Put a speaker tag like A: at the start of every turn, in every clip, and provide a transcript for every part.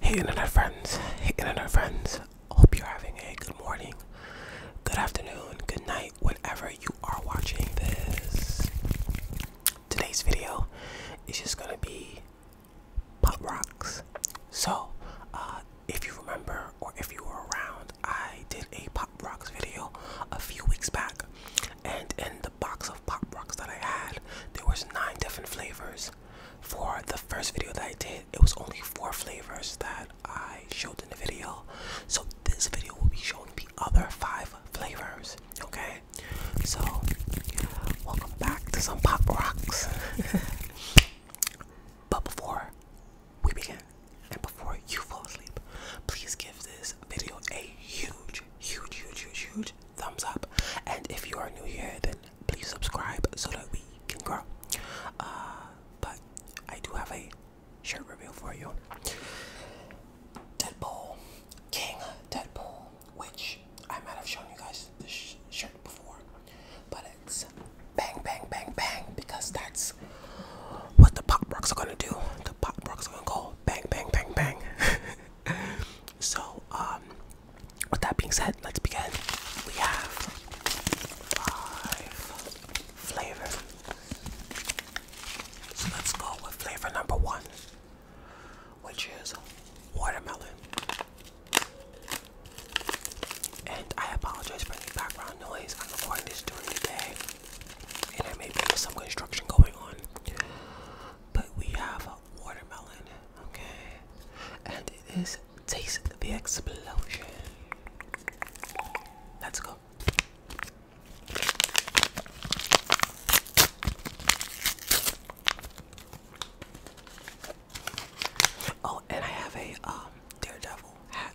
A: Hey internet friends, hey internet friends, hope you're having a good morning, good afternoon, good night, whenever you are watching this. Today's video is just gonna be pop rocks. So, uh, if you remember or if you were around, I did a pop rocks video a few weeks back and in the box of pop rocks that I had, there was nine different flavors. For the first video that I did, it was only four flavors that I showed in the video. So this video will be showing the other five flavors. Okay, so welcome back to some pop rocks. but before we begin, and before you fall asleep, please give this video a huge, huge, huge, huge, huge thumbs up and if you are new here then please subscribe so that we can grow uh, but i do have a shirt reveal for you deadpool king deadpool which i might have shown you guys this shirt before but it's bang bang bang bang because that's what the pop rocks are gonna do the pop rocks are gonna go bang bang bang bang So, um, with that being said, let's begin. We have five flavors. So let's go with flavor number one, which is watermelon. And I apologize for the background noise. I'm recording this during the day, and there may be some construction going on. But we have watermelon, okay? And it is Taste the Explosion. Let's go. Oh, and I have a um, Daredevil hat.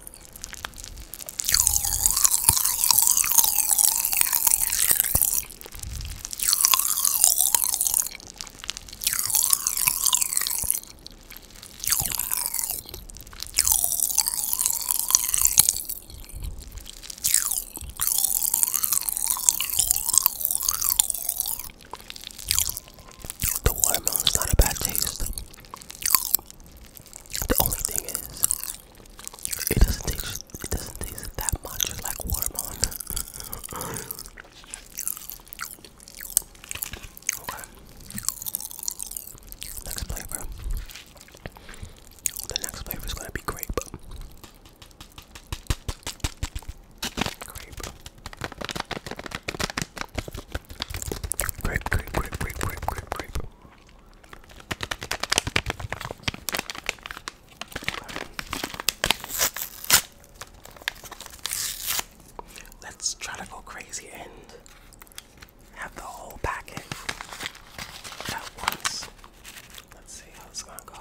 A: The watermelon is not a bad taste. The only thing is, it doesn't taste it doesn't taste that much like watermelon. okay. Next flavor. The next flavor is gonna be Grape, grape, grape, grape, grape, grape, grape. Let's try to go crazy and have the whole packet at once. Let's see how it's gonna go.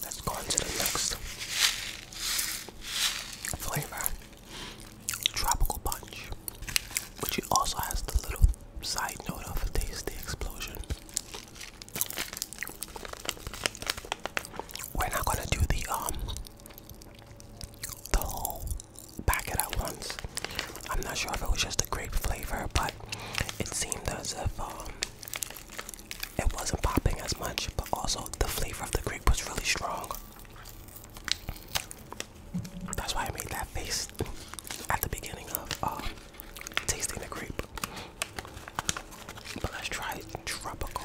A: Let's go on the next flavor. Tropical punch. Which also has the little side note of a tasty explosion. We're not gonna do the um the whole packet at once. I'm not sure if it was just a grape flavor, but it seemed as if um, it wasn't popping as much, but also the flavor of the grape was really strong. That's why I made that face at the beginning of um, tasting the grape. But let's try tropical.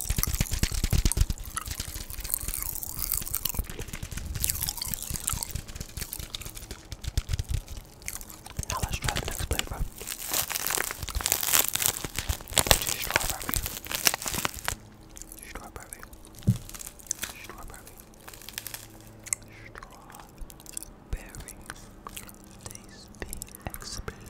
A: Now let's try the next flavor. Strawberry. Strawberry. Strawberry. Strawberries. Tasty explosion.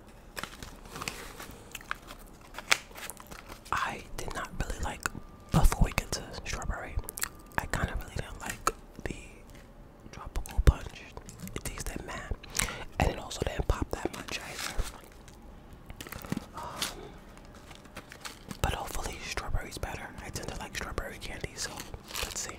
A: I did not really like, before we get to strawberry, I kind of really didn't like the tropical punch. It that mad. And it also didn't pop that much either. Um, but hopefully strawberry's better. I tend to like strawberry candy, so let's see.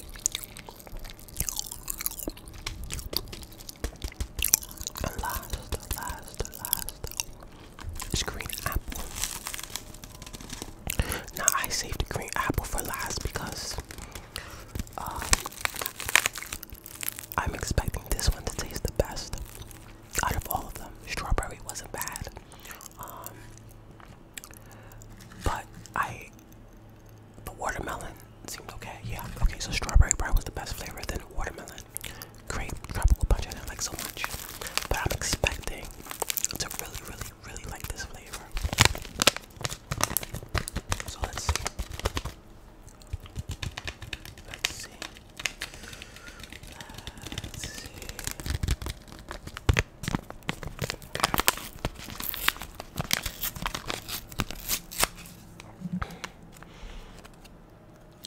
A: last, last, last is green apple. Now I saved the green apple for last because uh, I'm expecting this one to taste the best out of all of them. Strawberry wasn't bad. Um, but I, the watermelon seemed okay. Yeah, okay. So strawberry pie was the best flavor. than watermelon, grape, tropical punch. I didn't like so much, but I'm expecting to really, really, really like this flavor. So let's see. Let's see. Let's see.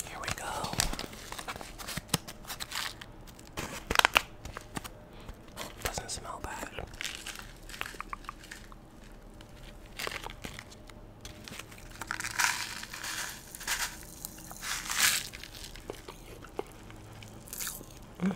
A: Here we go. Doesn't smell bad. Mm.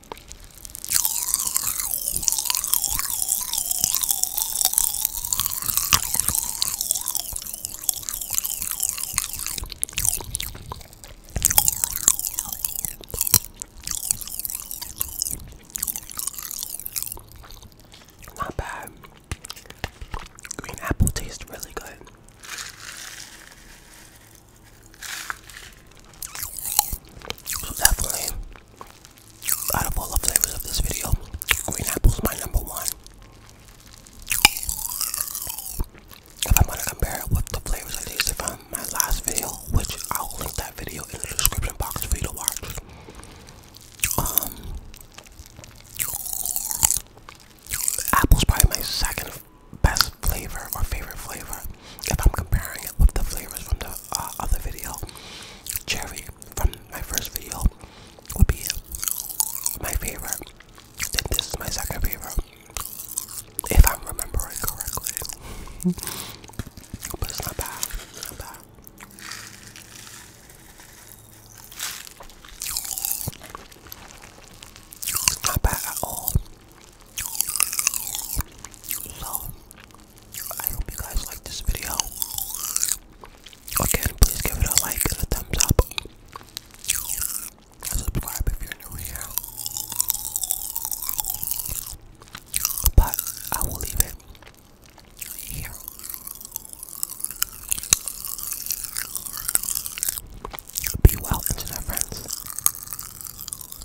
A: Not bad. Green apple tastes really good. So definitely, out of all the flavors of this video, green apple's my number one. If I'm gonna compare it with the flavors I tasted from my last video, which I'll link that video in the description box for you to watch. Um, apple's probably my second best flavor or favorite flavor if I'm comparing it with the flavors from the uh, other video, cherry from my first video would be my favorite. Then this is my second favorite, if I'm remembering correctly. but it's not bad. not bad. not bad so, I hope you guys like this video. Again, please give it a like and a thumbs up. subscribe if you're new here. But I will leave it here. Be well, internet friends.